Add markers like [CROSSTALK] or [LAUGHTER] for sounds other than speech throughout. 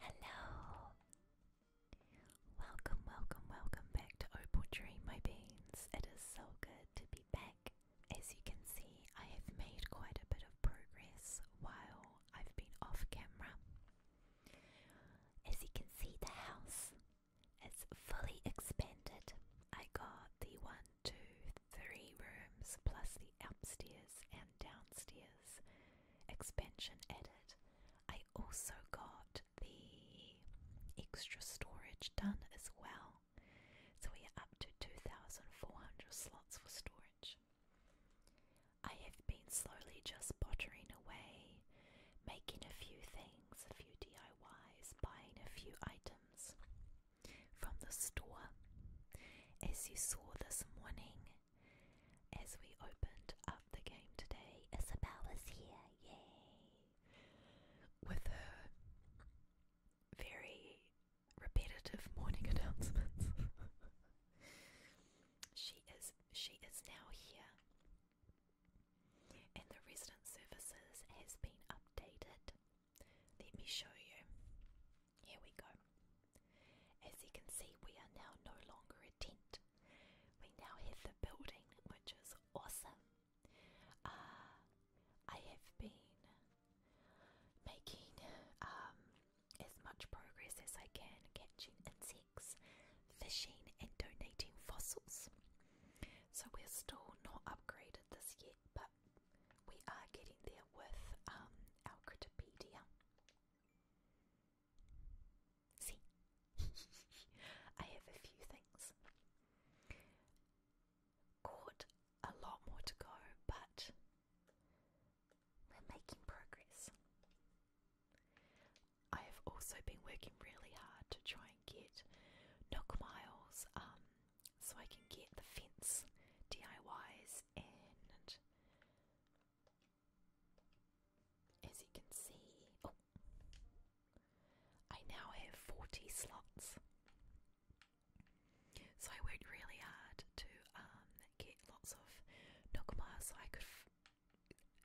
Hello! Welcome, welcome, welcome back to Opal Dream, my beans. It is so good to be back. As you can see, I have made quite a bit of progress while I've been off camera. As you can see, the house is fully expanded. I got the one, two, three rooms plus the upstairs and downstairs expansion added. I also got the extra storage done as well. So we are up to 2,400 slots for storage. I have been slowly just pottering away, making a few things, a few DIYs, buying a few items from the store. As you saw this morning, as we opened up the game today, Isabel is here, yay! With her very repetitive morning [LAUGHS] announcements. she is she is now here. And the resident services has been updated. Let me show you. Here we go. As you can see, we are now no longer a tent. We now have the building, which is awesome. Uh, I have been making um, as much progress as I can catching insects, fishing, and donating fossils. So we're still not upgraded this yet, but we are getting there with um, our See, [LAUGHS] I have a few things. Got a lot more to go, but we're making progress. I have also been working really hard to try and get Nook Miles um, so I can get the fence DIYs and as you can see, oh, I now have 40 slots. So I worked really hard to um, get lots of Nokma so I could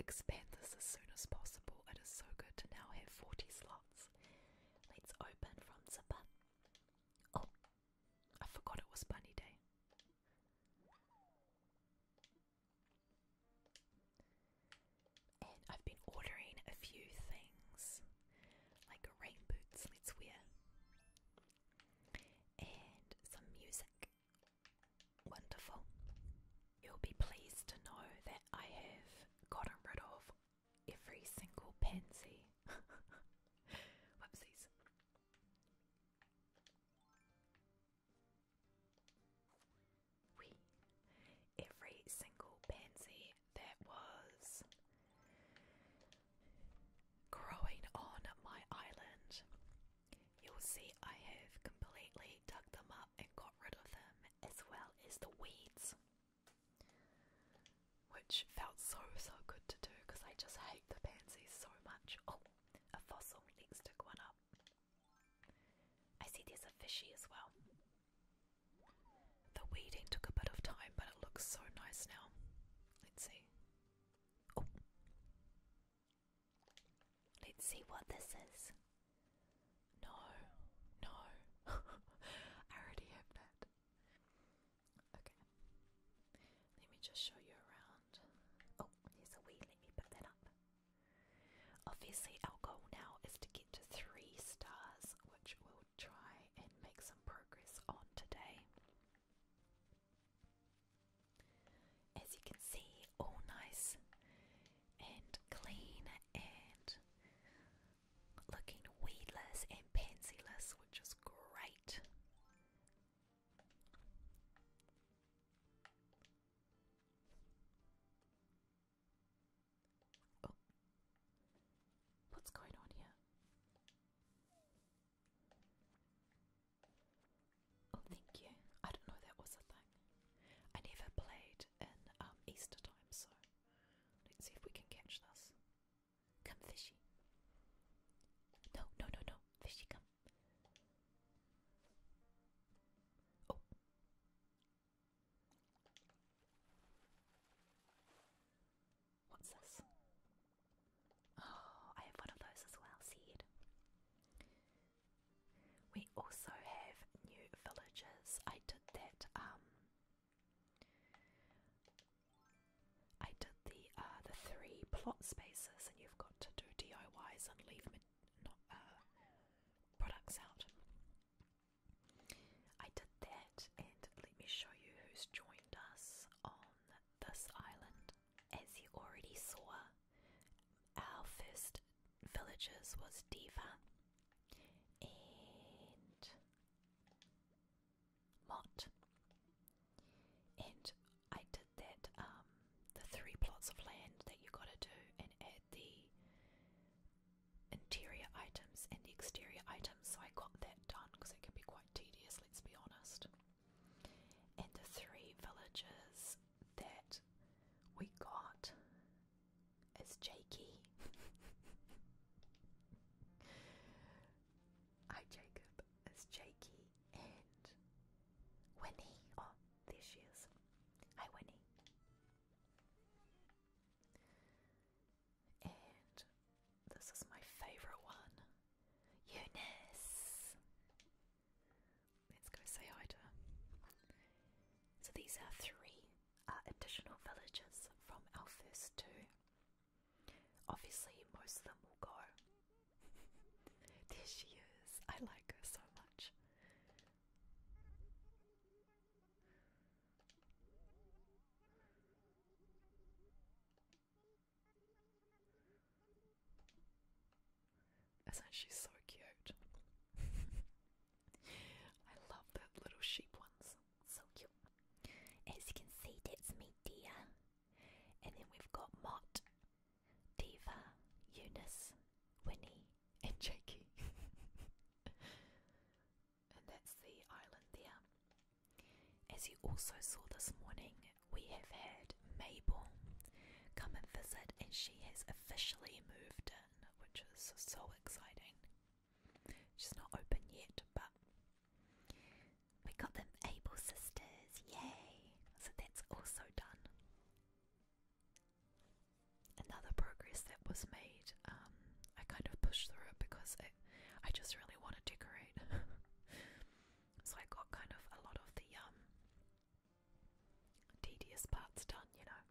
expand this as soon as possible. It is so good to now have 40 slots. Let's open from Zipper. Oh, I forgot it was Bunny Day. I've been ordering a few things, like rain boots, let wear, and some music. Wonderful. You'll be pleased to know that I have gotten rid of every single pansy. [LAUGHS] Whoopsies. We every single pansy that was growing on my island. You'll see I have completely dug them up and got rid of them, as well as the weeds. Which felt so so good to do because I just hate the pansies so much. Oh, a fossil, needs to go one up. I see these are fishy as well. The weeding took a bit of time, but it looks so nice now. Let's see. Oh. Let's see what this is. No, no. [LAUGHS] I already have that. Okay. Let me just show you around. Oh, there's a wee. Let me put that up. Obviously, our goal now is to get to three stars, which we'll try and make some progress on today. As you can see, all nice and clean and looking weedless and pansyless, which is great. Oh. What's going on here? Oh, thank you. I didn't know that was a thing. I never played in um, Easter time, so let's see if we can catch this. Come, fishy. No, no, no, no. Fishy, come. Oh. What's this? Oh, I have one of those as well, seed. We also have new villages. I did that, um I did the uh, the three plot spaces and you've got to do DIYs and leave not uh, products out. I did that, and let me show you who's joined us on this island. As you already saw, our first villagers was Diva and Mott. And I did that um, the three plots of land that you gotta do and add the interior items and the exterior items. So I got that done because it can be quite tedious, let's be honest. And the three villages that we got is Jakey. [LAUGHS] Hi Jacob, it's Jakey and Winnie. Oh, there she is. Hi, Winnie. And this is my favourite one Eunice. Let's go say hi to her. So these are three uh, additional villagers from our first two. Obviously, most of them will go. [LAUGHS] there she is. I like her so much. That's actually so cute. [LAUGHS] I love the little sheep ones. So cute. As you can see, that's me dear. And then we've got Mott. Diva, Eunice, Winnie, and Jakey. [LAUGHS] and that's the island there. As you also saw this morning, we have had Mabel come and visit, and she has officially moved in, which is so exciting. She's not open yet, but we got them Able Sisters, yay! So that's also done another progress that was made. Um, I kind of pushed through it because I just really want to decorate. [LAUGHS] so I got kind of a lot of the um, tedious parts done, you know.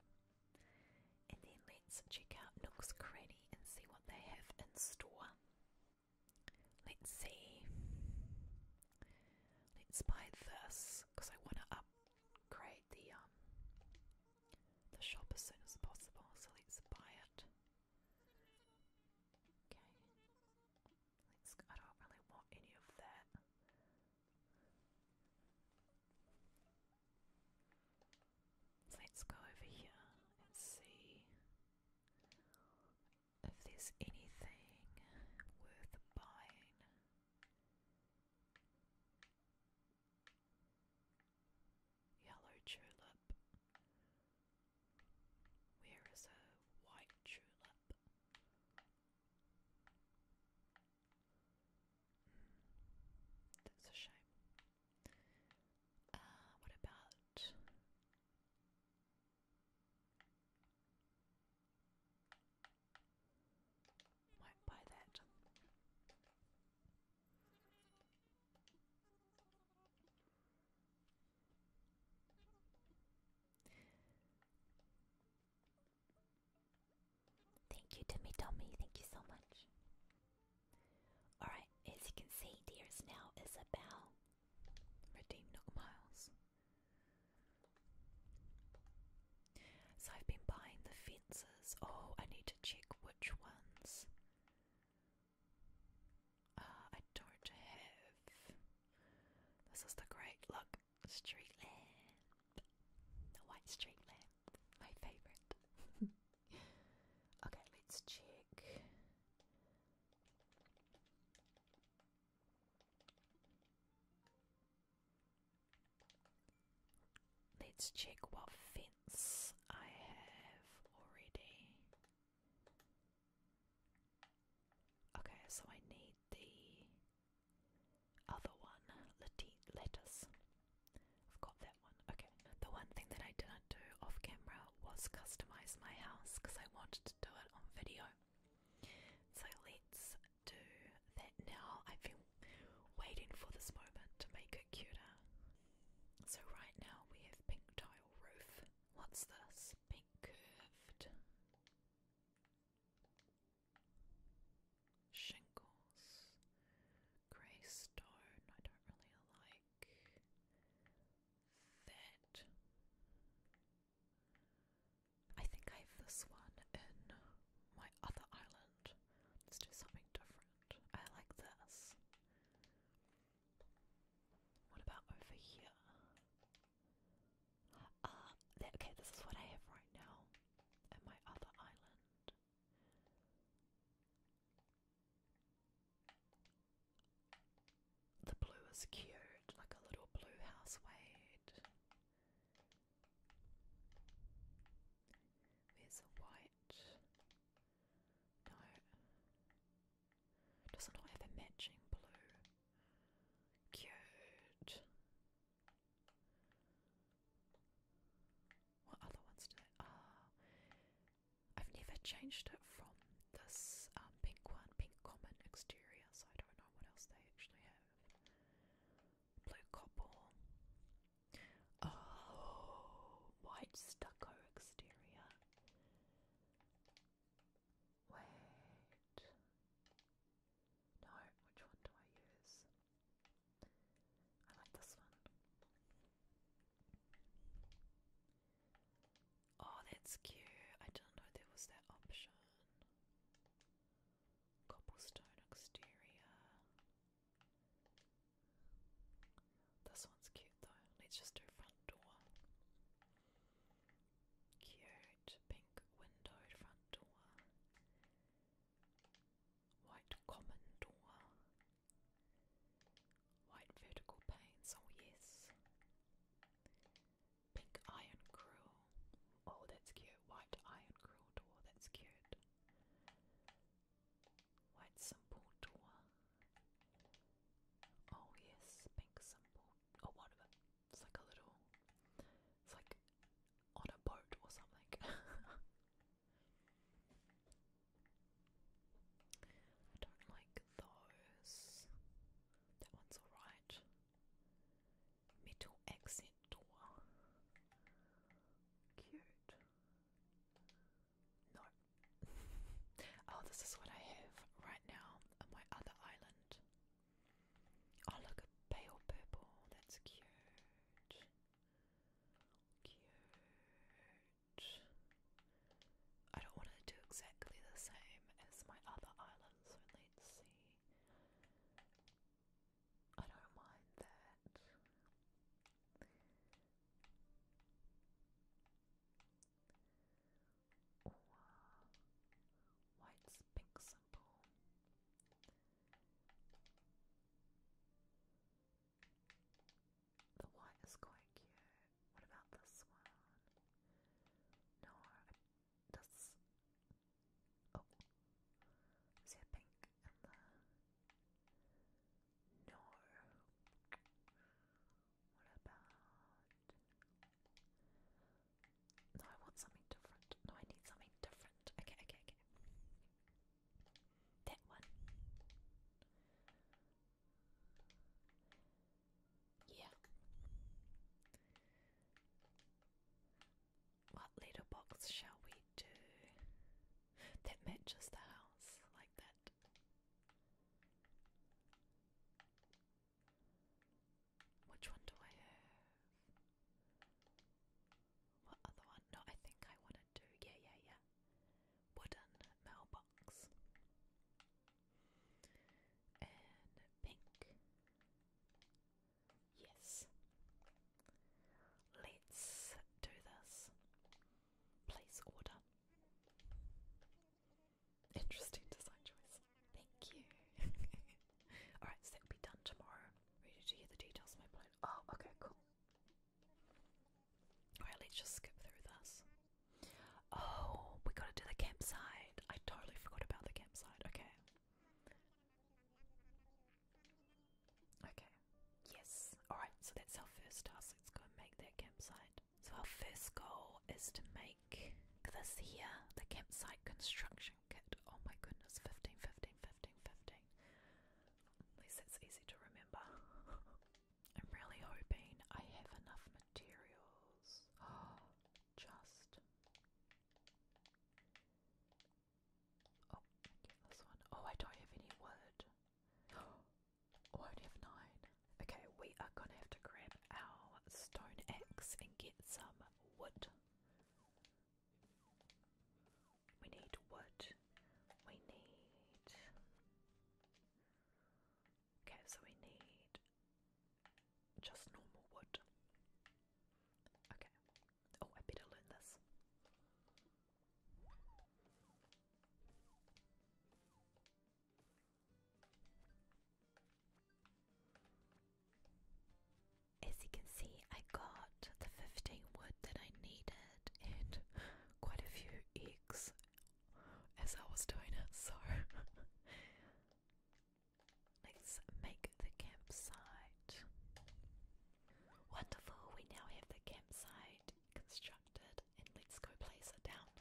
And then let's check out Nook's Cranny and see what they have in store. Let's see. Let's buy this because I want to up create the um the shop as soon as possible. So let's buy it. Okay. Let's. I don't really want any of that. let's go over here and see if there's anything worth buying. Yellow tulip. Where is a white tulip? Hmm, that's a shame. Uh, what about might buy that. Thank you, Timmy Tommy. Thank you so much. Alright, as you can see, Dears Now is about Nook Miles. So I've been buying the fences. Oh, I need to check which ones. Uh, I don't have. This is the great look street lamp. The white street lamp. My favourite. [LAUGHS] okay, let's check. Let's check what fence I have already. Okay, so I need the other one, lettuce. I've got that one. Okay. The one thing that I didn't do off camera was customize my house because I wanted to do it on video. So let's do that now. I've waiting for this moment to make it cuter. So, right now we have pink tile roof. What's this? Pink curved shingles, grey stone. I don't really like that. I think I have this one in my other island. Let's do something different. I like this. What about over here? Ah, okay, this is what I have right now in my other island. The blue is cute, like a little blue house. Wait, it's the white? No. does not have a matching blue. Cute. What other ones do they? Ah, I've never changed it from this um, pink one, pink common exterior, so I don't know what else they actually have blue copper, oh, white stucco exterior. Wait, no, which one do I use? I like this one. Oh, that's cute. I didn't know there was that option. Cobblestone exterior. This one's cute though. Let's just do front door. Cute pink windowed front door. White common door. White vertical panes, oh yes. Pink iron grill. Oh, that's cute. White iron grill door. That's cute. White simple door. Oh yes, pink simple. Oh, what It's like a little. It's like on a boat or something. [LAUGHS] I don't like those. That one's alright metal exit door. Cute. [LAUGHS] oh, this is what I have right now on my other island. Oh, look, pale purple. That's cute. Cute. I don't want to do exactly the same as my other island, so let's see. I don't mind that. white's pink simple. The white is quite cute. What about this one? No, this Oh, is pink and the no? What about? No, I want something different. No, I need something different. Okay, okay, okay. That one. Yeah. What little box shall we do? That matches the house like that. Which one do I have? What other one? No, I think I want to do. Yeah, yeah, yeah. Wooden mailbox. And pink. Yes. Let's do this. Place order. Interesting design choice. Thank you. [LAUGHS] Alright, so that'll be done tomorrow. Ready to hear the details of my plan. Oh, okay, cool. Alright, let's just skip through this. Oh, we gotta do the campsite. I totally forgot about the campsite. Okay. Okay. Yes. Alright, so that's our first task. Let's go and make that campsite. So our first goal is to make this here, the campsite construction kit. Oh my goodness, 15, 15, 15, 15. At least that's easy to remember. [LAUGHS] I'm really hoping I have enough materials. [GASPS] just Oh, this one. Oh, I don't have any wood. [GASPS] Oh, only have nine. Okay, we are gonna have to grab our stone axe and get some wood. We need wood. We need. Okay, so we need just normal wood. Okay, Oh, I better learn this. As you can see, I got the 15 wood that I needed and quite a few eggs as I was doing it, so [LAUGHS] let's make the campsite. Wonderful, we now have the campsite constructed and let's go place it down.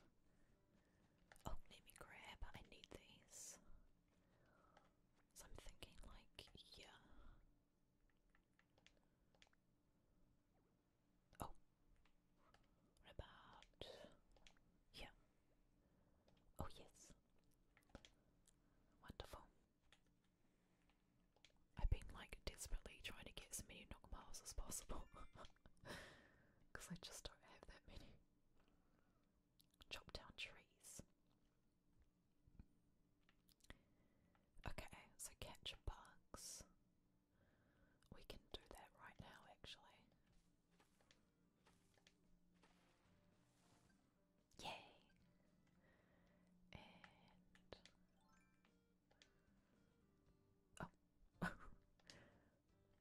Oh, let me grab, I need these. So I'm thinking like, yeah. Oh, about, yeah. Oh yes, wonderful. I've been like desperately trying to get as many knock miles as possible because [LAUGHS] I just don't have that many. Chop down trees. Okay, so catch bugs. We can do that right now, actually. Yay! [LAUGHS] oh, oh [LAUGHS] no! I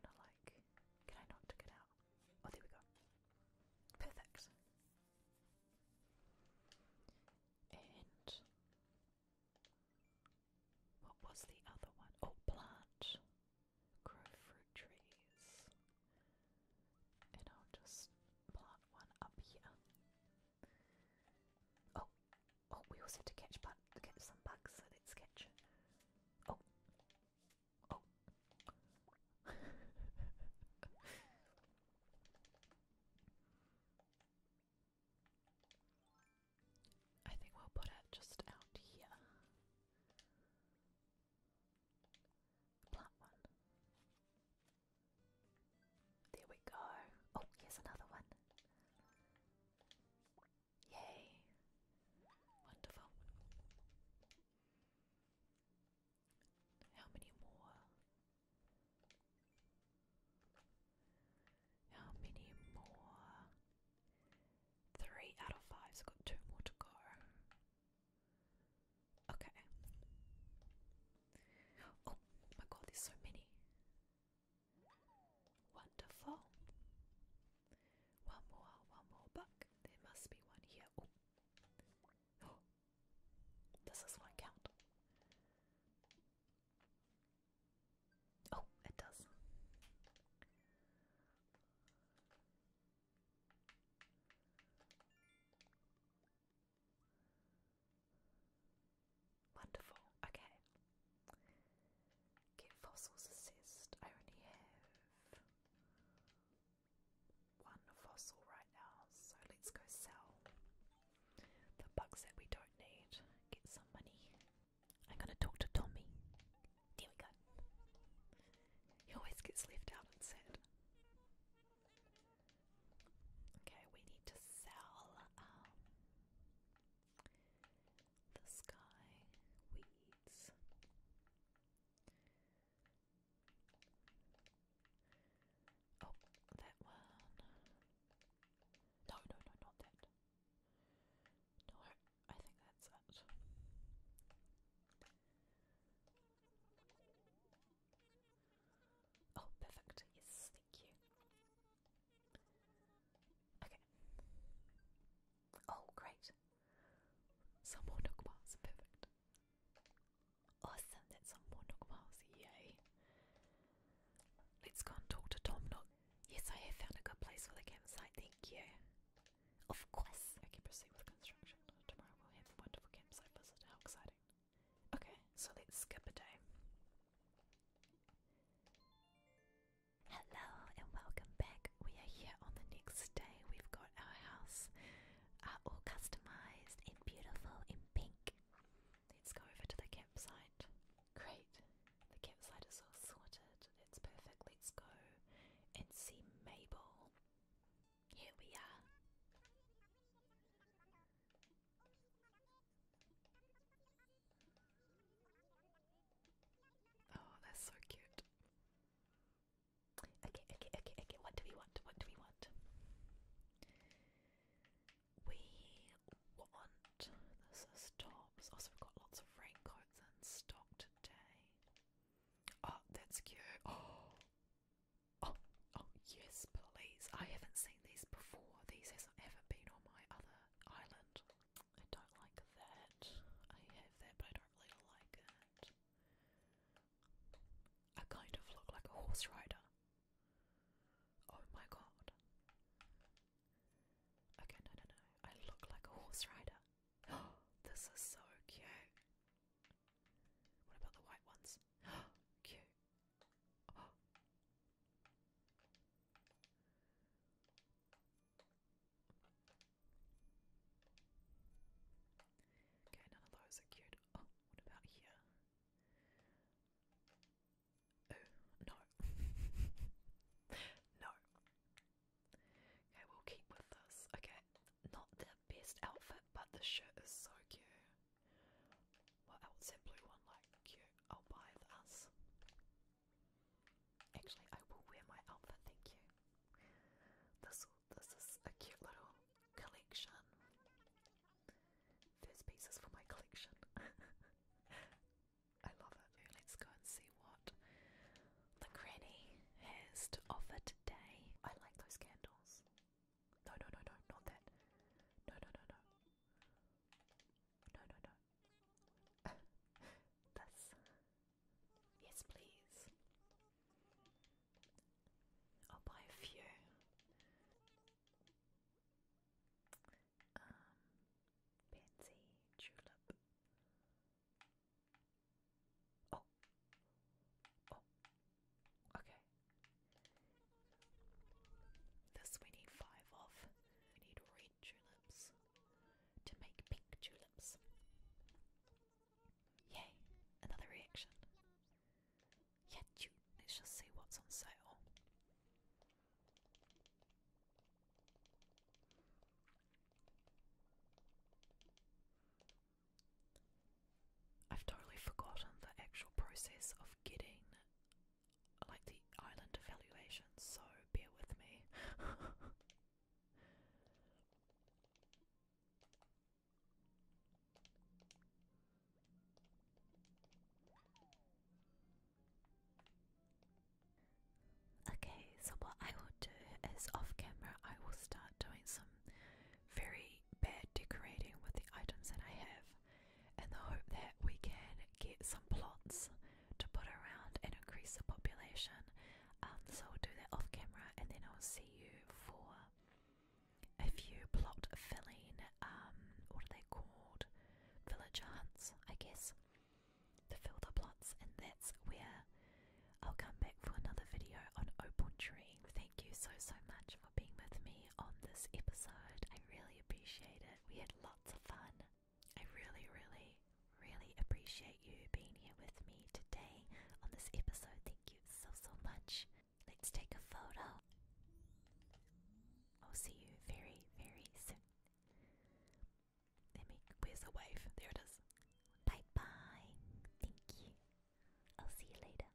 want to like. Can I not take out? Oh, there we go. Perfect. And what was the other one? Oh, plant. Grow fruit trees. And I'll just plant one up here. Oh, oh, we also have to catch, but catch some bugs, let's catch. Oh, oh. [LAUGHS] I think we'll put it just out here. Plant one. There we go. Oh, here's another one. Yay. Wonderful. How many more? How many more? Three out of five, I've got two more to go. Okay. Oh my god, there's so many. Wonderful. One more, one more buck. There must be one here. Does oh. [GASPS] this one count? Oh, it does. Wonderful, okay. Give fossils assist. I only have one fossil right now, so let's go sell the bugs that we don't need. Get some money. I'm gonna talk to Tommy. There we go. He always gets left out and said. Okay, we need to sell um, the sky weeds. Oh, that one. No, no, no, not that. No, I think that's it. Oh, perfect. Yes, thank you. Okay. Oh, great. Some more Nook Perfect. Awesome, that's some more Nook Yay. Let's go and talk to Tom Nook. Yes, I have found a good place for the campsite. Thank you. Of course, I can proceed with construction. Tomorrow we'll have a wonderful campsite visit. How exciting! Okay, so let's skip a day. Hello and welcome back. We are here on the next day. We've got our house uh, all customized and beautiful in pink. Let's go over to the campsite. Great, the campsite is all sorted. That's perfect. Let's go and see Mabel. Here we are. Oh, that's so cute. Okay, okay, okay, okay. What do we want? What do we want? We want this tops. Also, we've got lots of raincoats in stock today. Oh, that's cute. [GASPS] Oh, Oh, oh yes, please. I haven't seen these before. These has ever been on my other island. I don't like that. I have that, but I don't really like it. I kind of look like a horse rider. Oh my god. Okay, no, no, no. I look like a horse rider. Oh, [GASPS] this is so cute. What about the white ones? [GASPS] Cute. Okay, none of those are cute. Oh, what about here? Oh, no. [LAUGHS] no. Okay, we'll keep with this. Okay, not the best outfit, but the shirt is so cute. What else? That blue one, like cute. I'll buy this. Actually, I will wear my outfit. Thank you. This this is a cute little collection. First pieces for my collection. [LAUGHS] I love it. Let's go and see what the granny has to offer today. I like those candles. No, no, no, no, not that. No, no, no, no. No, no, no. [LAUGHS] this. Yes, please. I'll buy a few. Um, pansy, tulip. Oh, oh, Okay. This we need five of. We need red tulips to make pink tulips. Yay, another reaction. Yeah, Let's just see what's on sale. I've totally forgotten the actual process of getting like the island evaluations, so bear with me. [LAUGHS] okay, so what I will do is off camera, I will start doing some very bad decorating with the items that I have in the hope that we can get some plots to put around and increase the population. Um, so I'll do that off camera and then I'll see you for a few plot filling, um, what are they called? Villager hunts, I guess, to fill the plots, and that's where I'll come back for another video on Opal Tree. Thank you so, so much for being with me on this episode. I really appreciate it. We had lots of fun. I really, really, really appreciate you being here with me today on this episode. Thank you so, so much. Let's take a photo. I'll see you very, very soon. Let me, where's the wave? There it is. Bye bye. Thank you. I'll see you later.